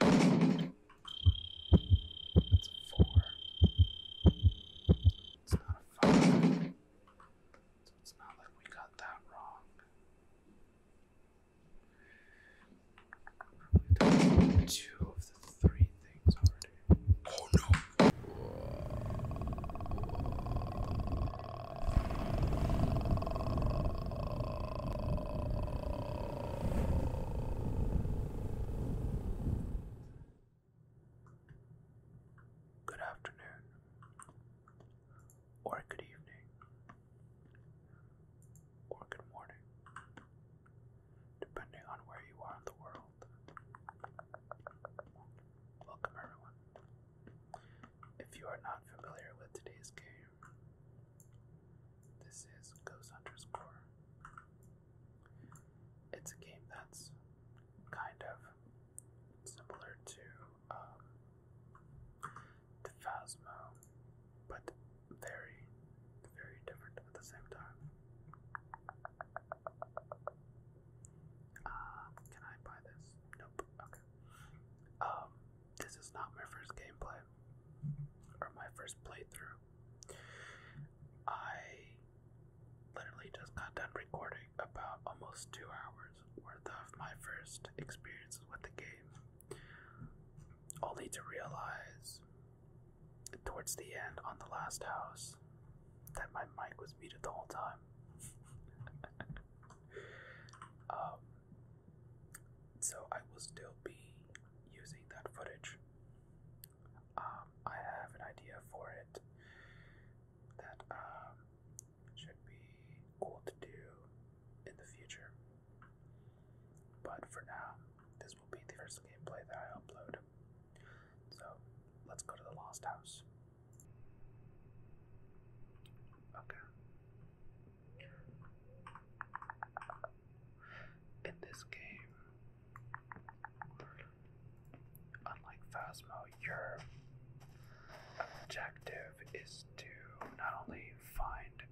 That's four. It's not a five. So it's not like we got that wrong. two of the three things already. Oh no! Good afternoon, or good evening, or good morning, depending on where you are in the world. Welcome, everyone. If you are not familiar with today's game, this is Ghost Hunter's Core. It's a game that's kind of similar to um, to but very, very different at the same time. Uh, can I buy this? Nope. Okay. Um, this is not my first gameplay or my first playthrough, I literally just got done recording about almost two hours worth of my first experiences with the game, only to realize towards the end on the last house that my mic was muted the whole time. Um, so I will still be using that footage. Um, I have an idea for it that um, should be cool to do in the future. But for now, this will be the first gameplay that I upload. So let's go to the Lost House. Okay. In this game, unlike Phasmo, your objective is to not only find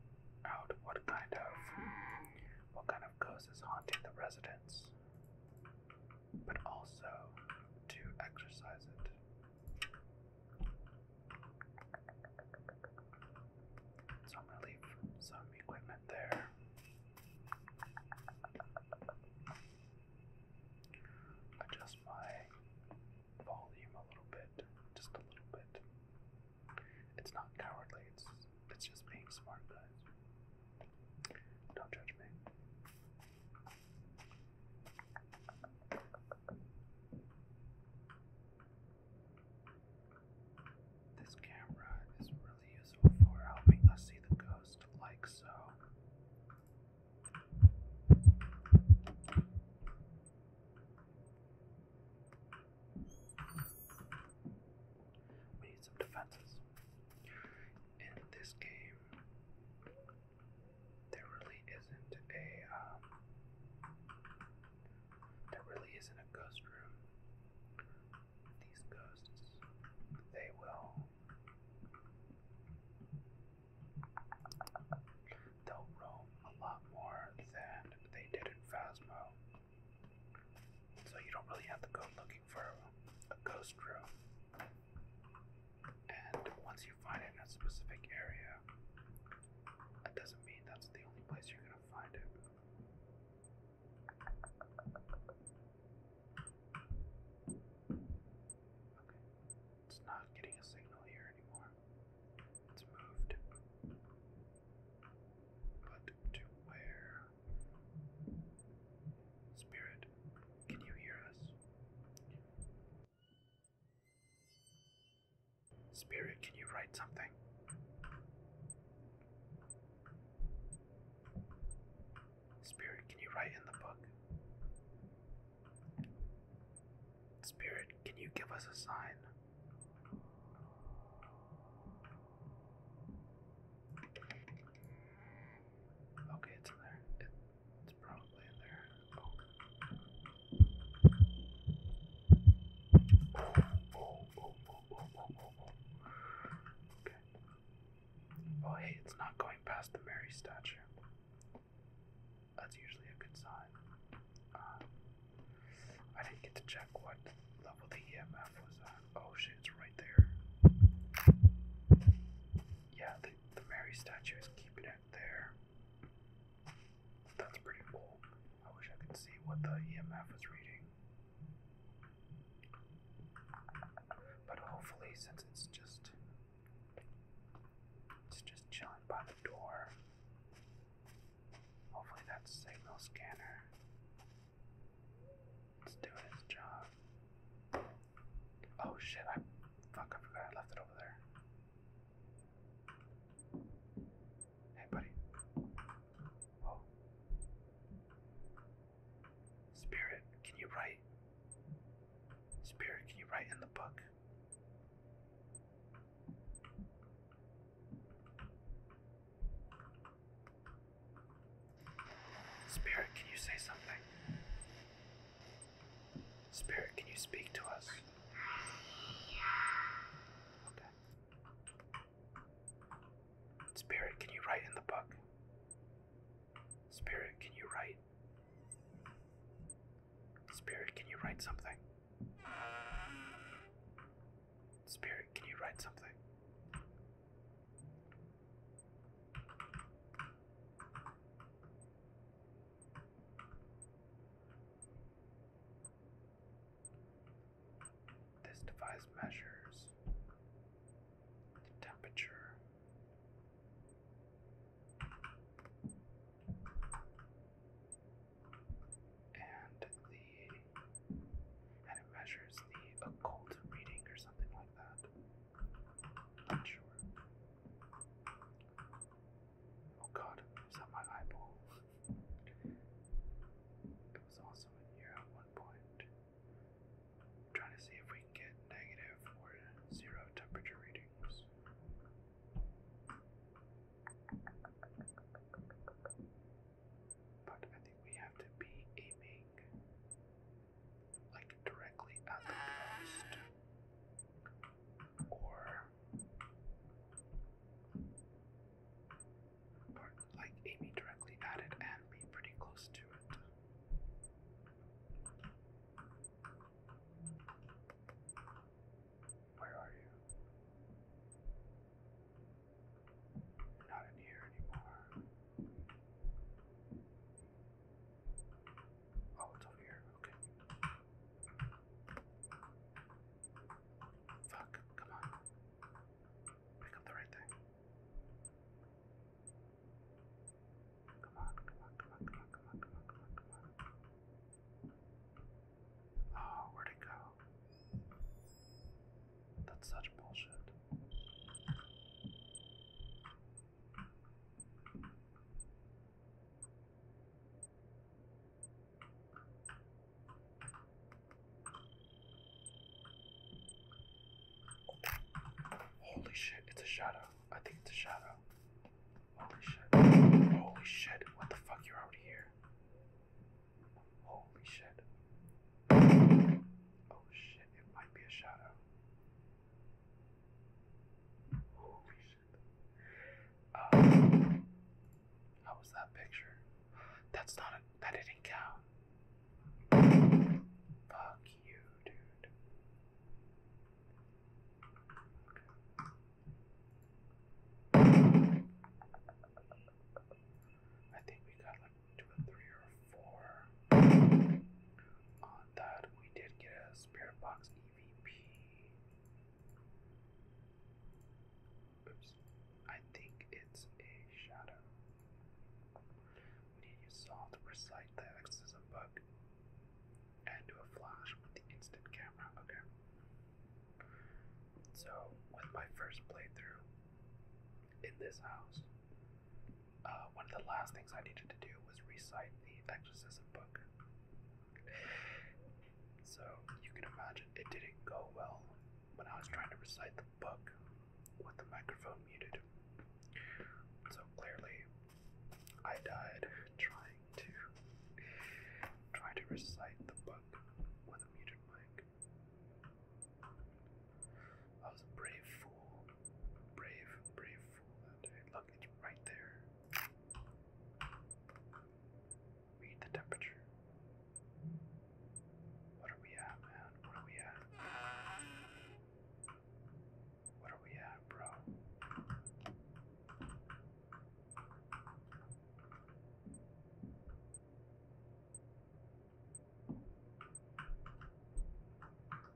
out what kind of what kind of ghost is haunting the residents, but also to exercise it. So I'm gonna leave some equipment there. Adjust my volume a little bit, just a little bit. It's not cowardly, it's it's just being smart, guys. Don't judge me. This camera is really useful for helping us see the ghost like so. We need some defenses. In this game, there really isn't a um, there really isn't a ghost room. These ghosts, they will. They'll roam a lot more than they did in Phasmo. So you don't really have to go looking for a ghost room. And once you find it in a specific area, that doesn't mean that's the only place you're gonna find it. Okay. It's not getting a signal here anymore. It's moved. But to where? Spirit, can you hear us? Spirit, can you write something? Spirit, can you write in the book? Spirit, can you give us a sign? Okay, it's in there. it's probably in there. Oh, hey, it's not going past the Mary statue. That's usually a good sign. Uh, I didn't get to check what level the EMF was at. Oh shit, it's right there. Yeah, the Mary statue is keeping it there. That's pretty cool. I wish I could see what the EMF is reading. But hopefully, since it's just it's just chilling by the door, hopefully that signal scanner is doing its job. Oh shit! I fuck! I forgot I left it over there. Hey, buddy. Oh. Spirit, can you write? Spirit, can you write in the book? Spirit, can you say something? Spirit, can you speak to us? Spirit, can you write in the book? Spirit, can you write? Spirit, can you write something? Spirit, can you write something? This device measures the temperature and it measures the occult reading or something like that. Not sure. Oh god, is that my eyeball? it was also in here at one point. I'm trying to see if we can get negative or zero temperature readings. But I think we have to be aiming like directly at the coast or part, like aiming directly at and be pretty close to it. Where are you? not in here anymore. Oh, it's over here. Okay. Fuck, come on. Pick up the right thing. Come on, come on, come on, come on, come on, come on, come on, Oh, where'd it go? That's such bullshit. Holy shit, it's a shadow. I think it's a shadow. Holy shit. Holy shit, what the fuck? You're out here. Holy shit. Oh shit, it might be a shadow. Holy um, how was that picture? That's not a. That didn't count. Fuck you, dude. I think we got like two three or four. On that, we did get a spirit box EVP. Oops. I think it's a shadow. When you use salt, recite the exorcism book and do a flash with the instant camera. Okay. So, with my first playthrough in this house, uh, one of the last things I needed to do was recite the exorcism book. So you can imagine it didn't go well when I was trying to recite the book with the microphone muted. So clearly, I died trying to try to recite the book with a muted mic. I was a brave fool, brave, brave fool that day. Look, it's right there. Read the temperature. What are we at, man? What are we at? What are we at, bro?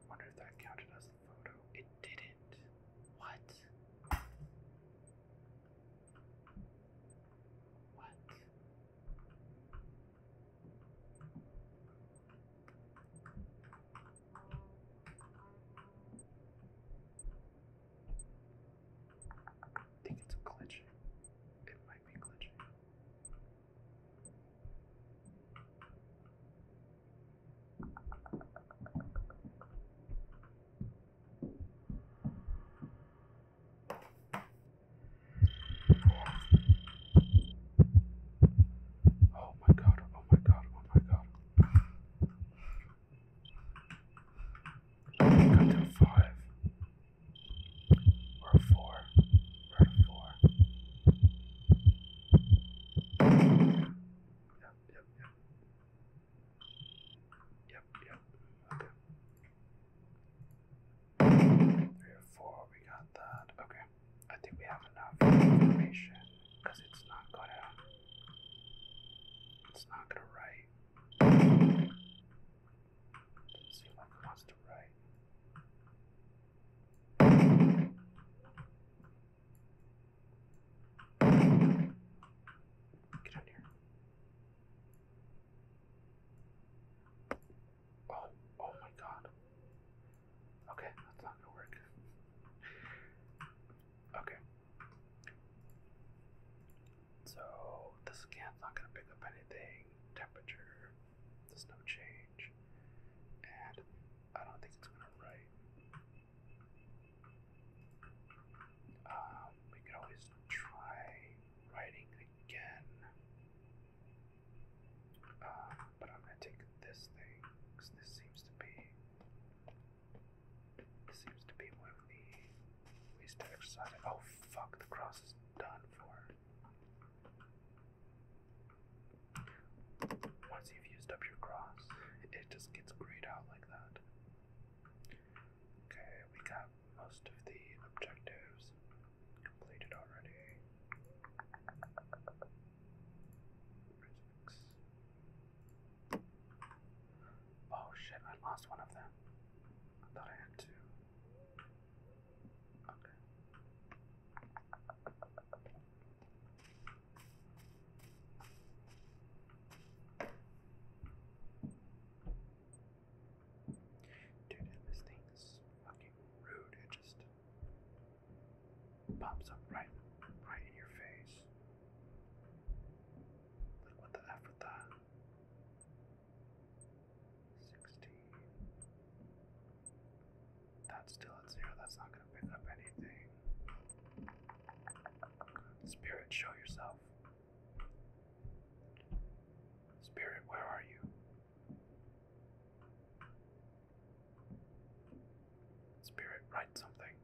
Wonder if that counted as a photo. It didn't. What? What? I think it's glitching. It might be glitching. Oh my god, oh my god, oh my god. We got to five. We're at four. We're at four. Yep, yep, yep. Yep, yep. Okay. Three four, we got that. Okay. I think we have enough information because it's not gonna it's not gonna write. Doesn't like it wants to write. Get out here. Oh, oh my god. Okay, that's not gonna work. okay. So, the scan's not gonna pick up anything. Temperature, there's no change. And I don't think it's gonna write. Um, we could always try writing again. Um, but I'm gonna take this thing this seems to be this seems to be one of the ways to exercise Oh fuck, the cross is done for. Once you've used up your cross, it just gets grayed out like that. Okay, we got most of the objectives completed already. Oh shit, I lost one of them. I thought I had two. Dude, this thing's fucking rude. It just pops up right, right in your face. Like what the f with that? Sixteen. That's still zero. That's not gonna pick up anything. Spirit, show yourself. Spirit, where are you? Spirit, write something.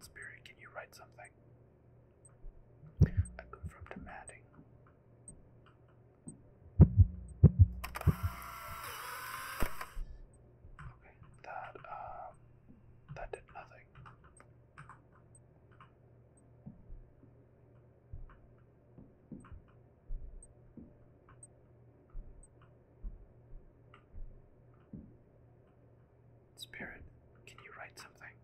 Spirit, can you write something? I go from demanding. Okay, that um that did nothing. Spirit, can you write something?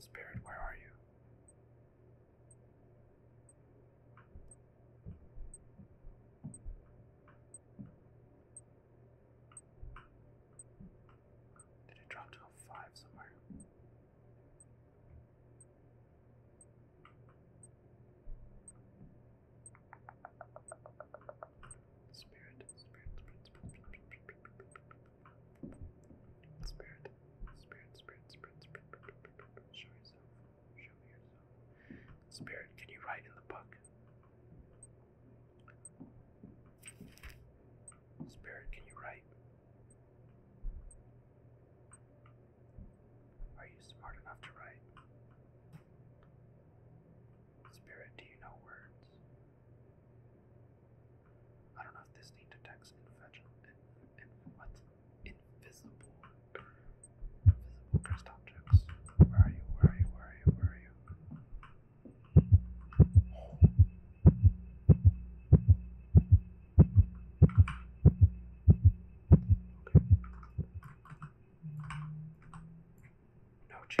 Spirit, where are you? Did it drop to a five somewhere? Spirit, spirit, spirit, spirit, spirit, spirit, spirit, spirit, spirit, spirit, spirit, spirit, show yourself. Spirit, can you write in the book? Spirit, can you write? Are you smart enough to write? Spirit, do you know words? I don't know if this thing detects text infection. In, Invisible Invisible objects. Where are you? Where are you? Where are you? Where are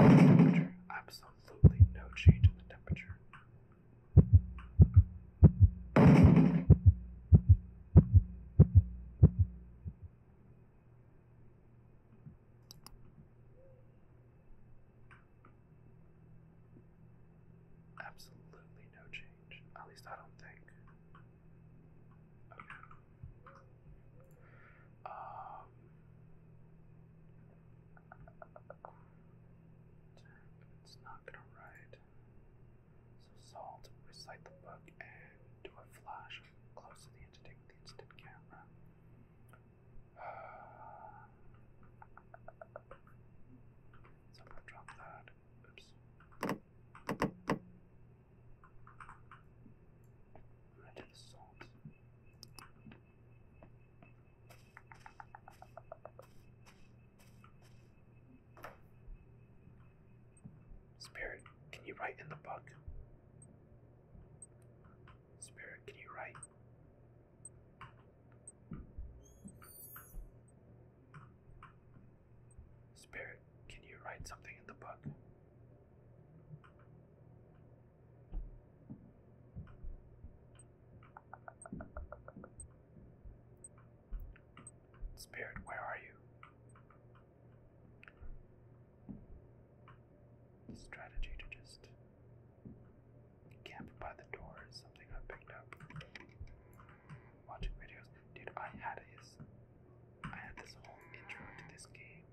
you? No change in temperature. Absolutely no change in the temperature. Absolutely no change. At least I don't think. Um. It's not gonna write. So salt, recite the book, do a flash close to the entity with the instant camera. so I'm gonna drop that. Oops. I'm going salt. Spirit, can you write in the book? Spirit, can you write? Spirit, can you write something in the book? Spirit, where are you? strategy to just camp by the door is something I picked up watching videos. Dude, I had his I had this whole intro to this game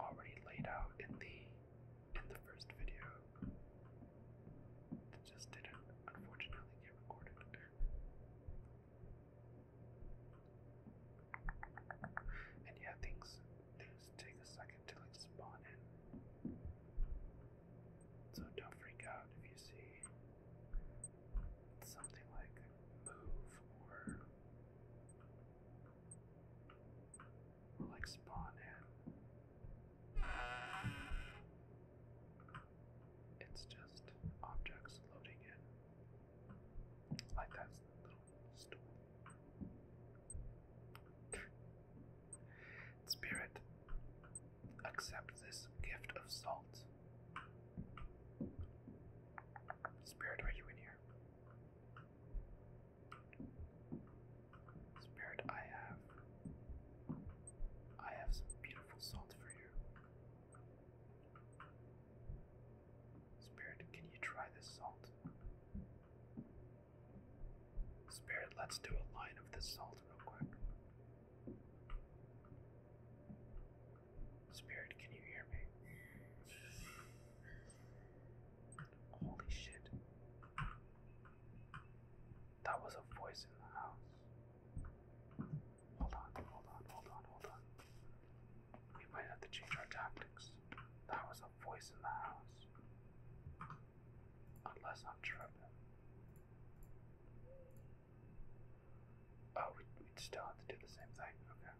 already laid out in the in the first video. It just didn't unfortunately get recorded. And yeah, things things take a second to like spawn in. So don't freak out if you see something like move or like spawn in. It's just objects loading in. Like that Spirit, accept this gift of salt. Spirit, are you in here? Spirit, I have. I have some beautiful salt for you. Spirit, can you try this salt? Spirit, let's do a line of this salt real quick. Spirit, can you hear me? Holy shit. That was a voice in the house. Hold on, hold on, hold on, hold on. We might have to change our tactics. That was a voice in the house. Unless I'm tripping. Oh, we we still have to do the same thing. Okay.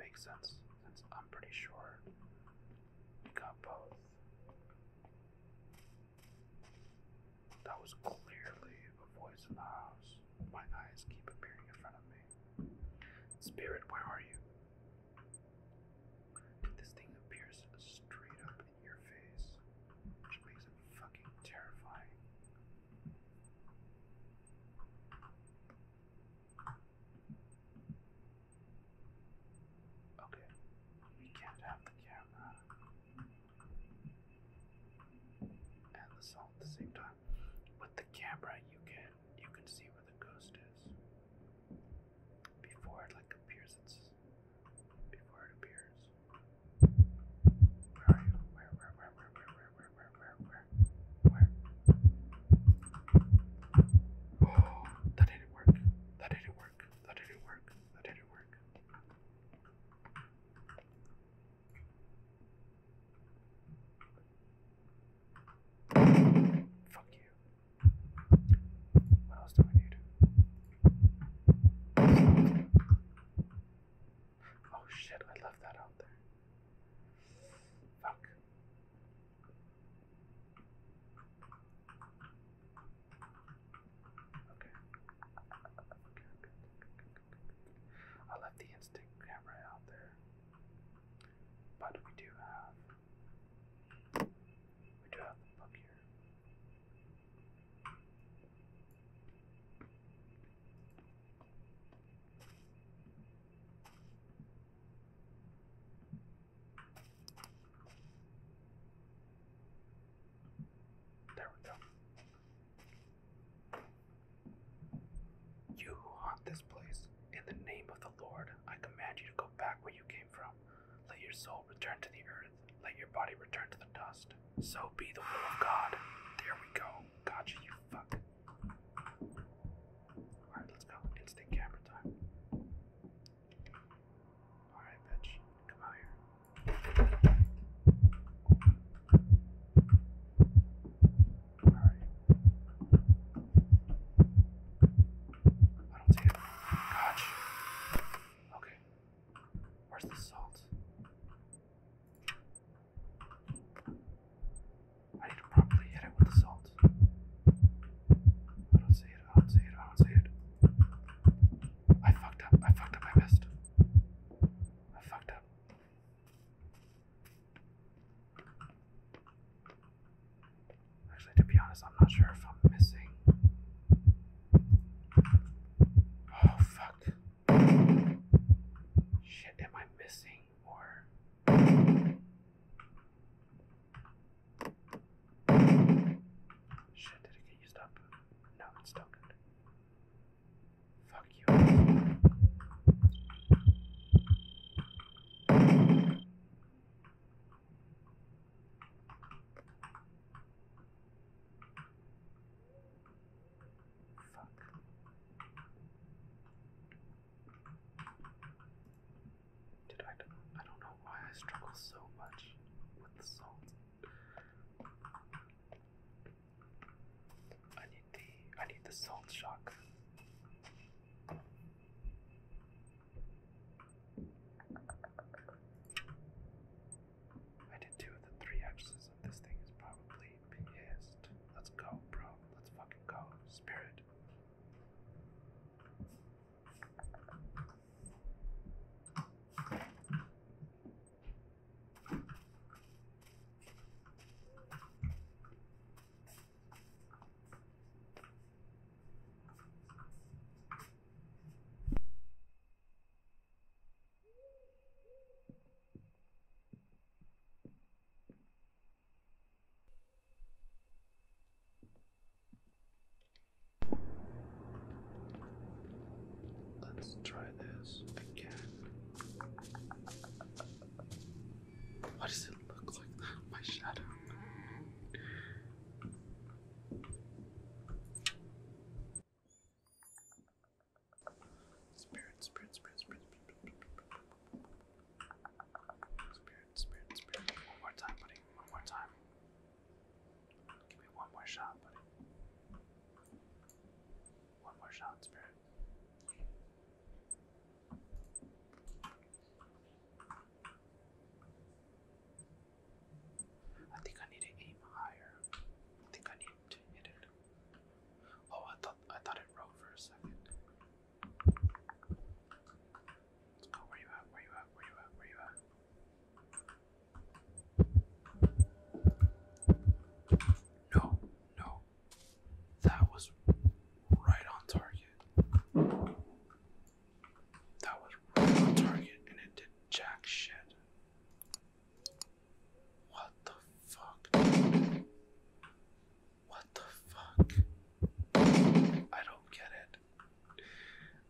Makes sense since I'm pretty sure we got both. That was clearly a voice in the house. My eyes keep appearing in front of me. Spirit, where are you? This thing appears straight up in your face, which makes it fucking terrifying. Okay, we can't have the camera and the salt at the same time. With the camera, you can you can see where the ghost is before it like appears. It's before it appears. Where are you? Where? Where? Where? Where? Where? Where? Where? Where? Where? that didn't work. That didn't work. That didn't work. That didn't work. Fuck you. What else do I need? Oh shit, I left that out there. Fuck. Okay. Okay, okay. I left the instant camera out there, but we do have we do have the book here. There we go. You who haunt this place, in the name of the Lord, I command you to go back where you came from. Let your soul return to the earth, let your body return to the dust. So be the will of God. There we go. Gotcha, you fuck. Alright, let's go. Instant camera time. Alright, bitch. Come out here. All right. I don't see it. Gosh. Okay. Where's the salt? I need to properly hit it with the salt. I don't see it, I don't see it, I don't see it. I fucked up, I fucked up, I missed. I fucked up. Actually, to be honest, I'm not sure if I'm missing. Oh, fuck. Shit, am I missing or. Shit, did it get used up? No, it's still good. Fuck you. Fuck. Did I? I don't know why I struggle so much with the salt. I need the I need the salt shock. I did two of the three axes this thing is probably pissed. Let's go, bro. Let's fucking go. Spirit. Let's try this again. What does it look like My shadow. Spirit, spirit, spirit, spirit, spirit, spirit, spirit, spirit. One more time, buddy. One more time. Give me one more shot, buddy. One more shot, Spirit. I think I need to aim higher. I think I need to hit it. Oh, I thought I thought it rolled for a second. Let's oh, go. Where you at? Where you at? Where you at? Where you at? No, no. That was right on target. That was right on target and it did jack shit. What the fuck? What the fuck? I don't get it.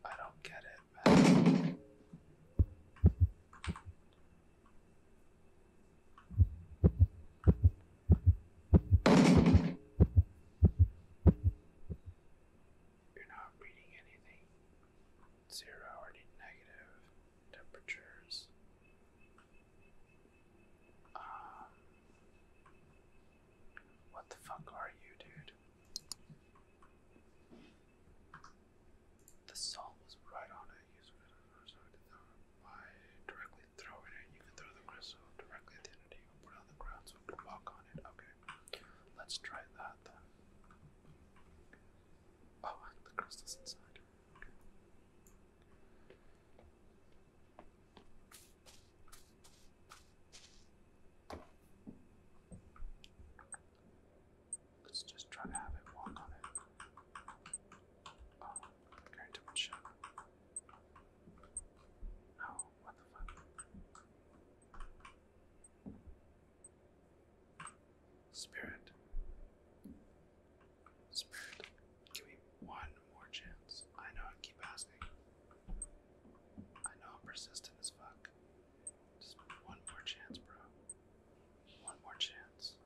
I don't get it, man. You're not reading anything. Zero or negative temperatures. Um, what the fuck are you, dude? The salt was right on it. You sort of throw it um, by You can throw the crystal directly at the entity put on the ground so it can walk on it. Okay, let's try that Oh, the crystal's inside. Let's just try to have it walk on it. Oh, I'm carrying too much Oh, what the fuck? Spirit. Spirit, give me one more chance. I know I keep asking. I know I'm persistent as fuck. Just one more chance, bro. One more chance.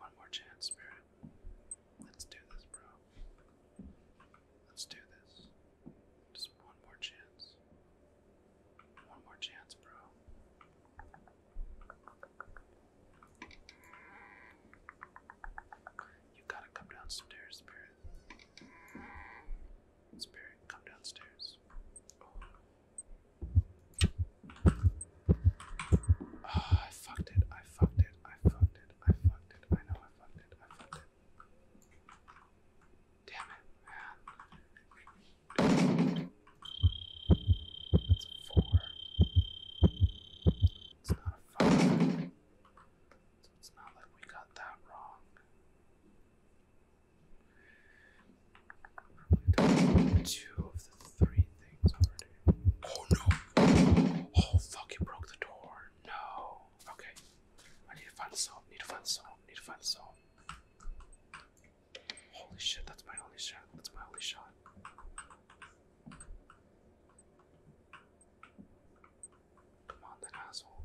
One more chance, Spirit. Let's do this, bro. Let's do this. Just one more chance. One more chance, bro. You gotta come downstairs, Spirit. Spirit, come downstairs. Oh, I fucked it. I fucked it. I fucked it. I fucked it. I know I fucked it. I fucked it. Damn it, man. That's a four. It's not a five. So it's not like we got that wrong two of the three things already. Oh no! Oh fuck! It broke the door. No. Okay. I need to find some. Need to find some. Need to find some. Holy shit! That's my only shot. That's my only shot. Come on, that asshole.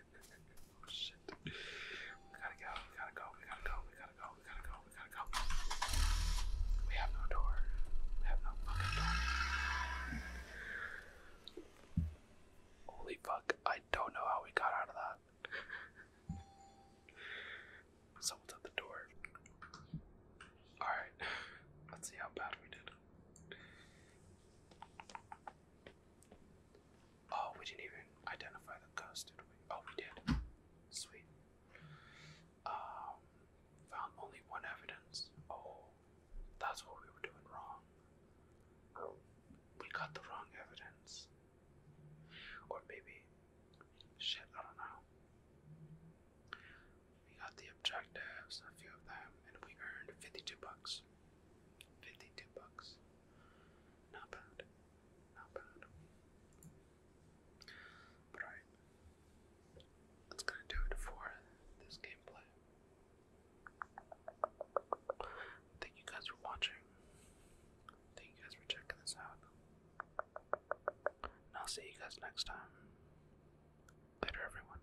Holy fuck, I don't know how we got out of that. Someone's at the door. Alright, let's see how bad we did. Oh, we didn't even identify the ghost, did we? Oh, we did. Sweet. Um, found only one evidence. Oh, that's what we were doing wrong. we got the wrong evidence. Or maybe, shit, I don't know. We got the objectives, a few of them, and we earned 52 bucks. 52 bucks. Not bad. Not bad. alright. That's gonna do it for this gameplay. Thank you guys for watching. Thank you guys for checking this out. And I'll see you guys next time. Later, everyone.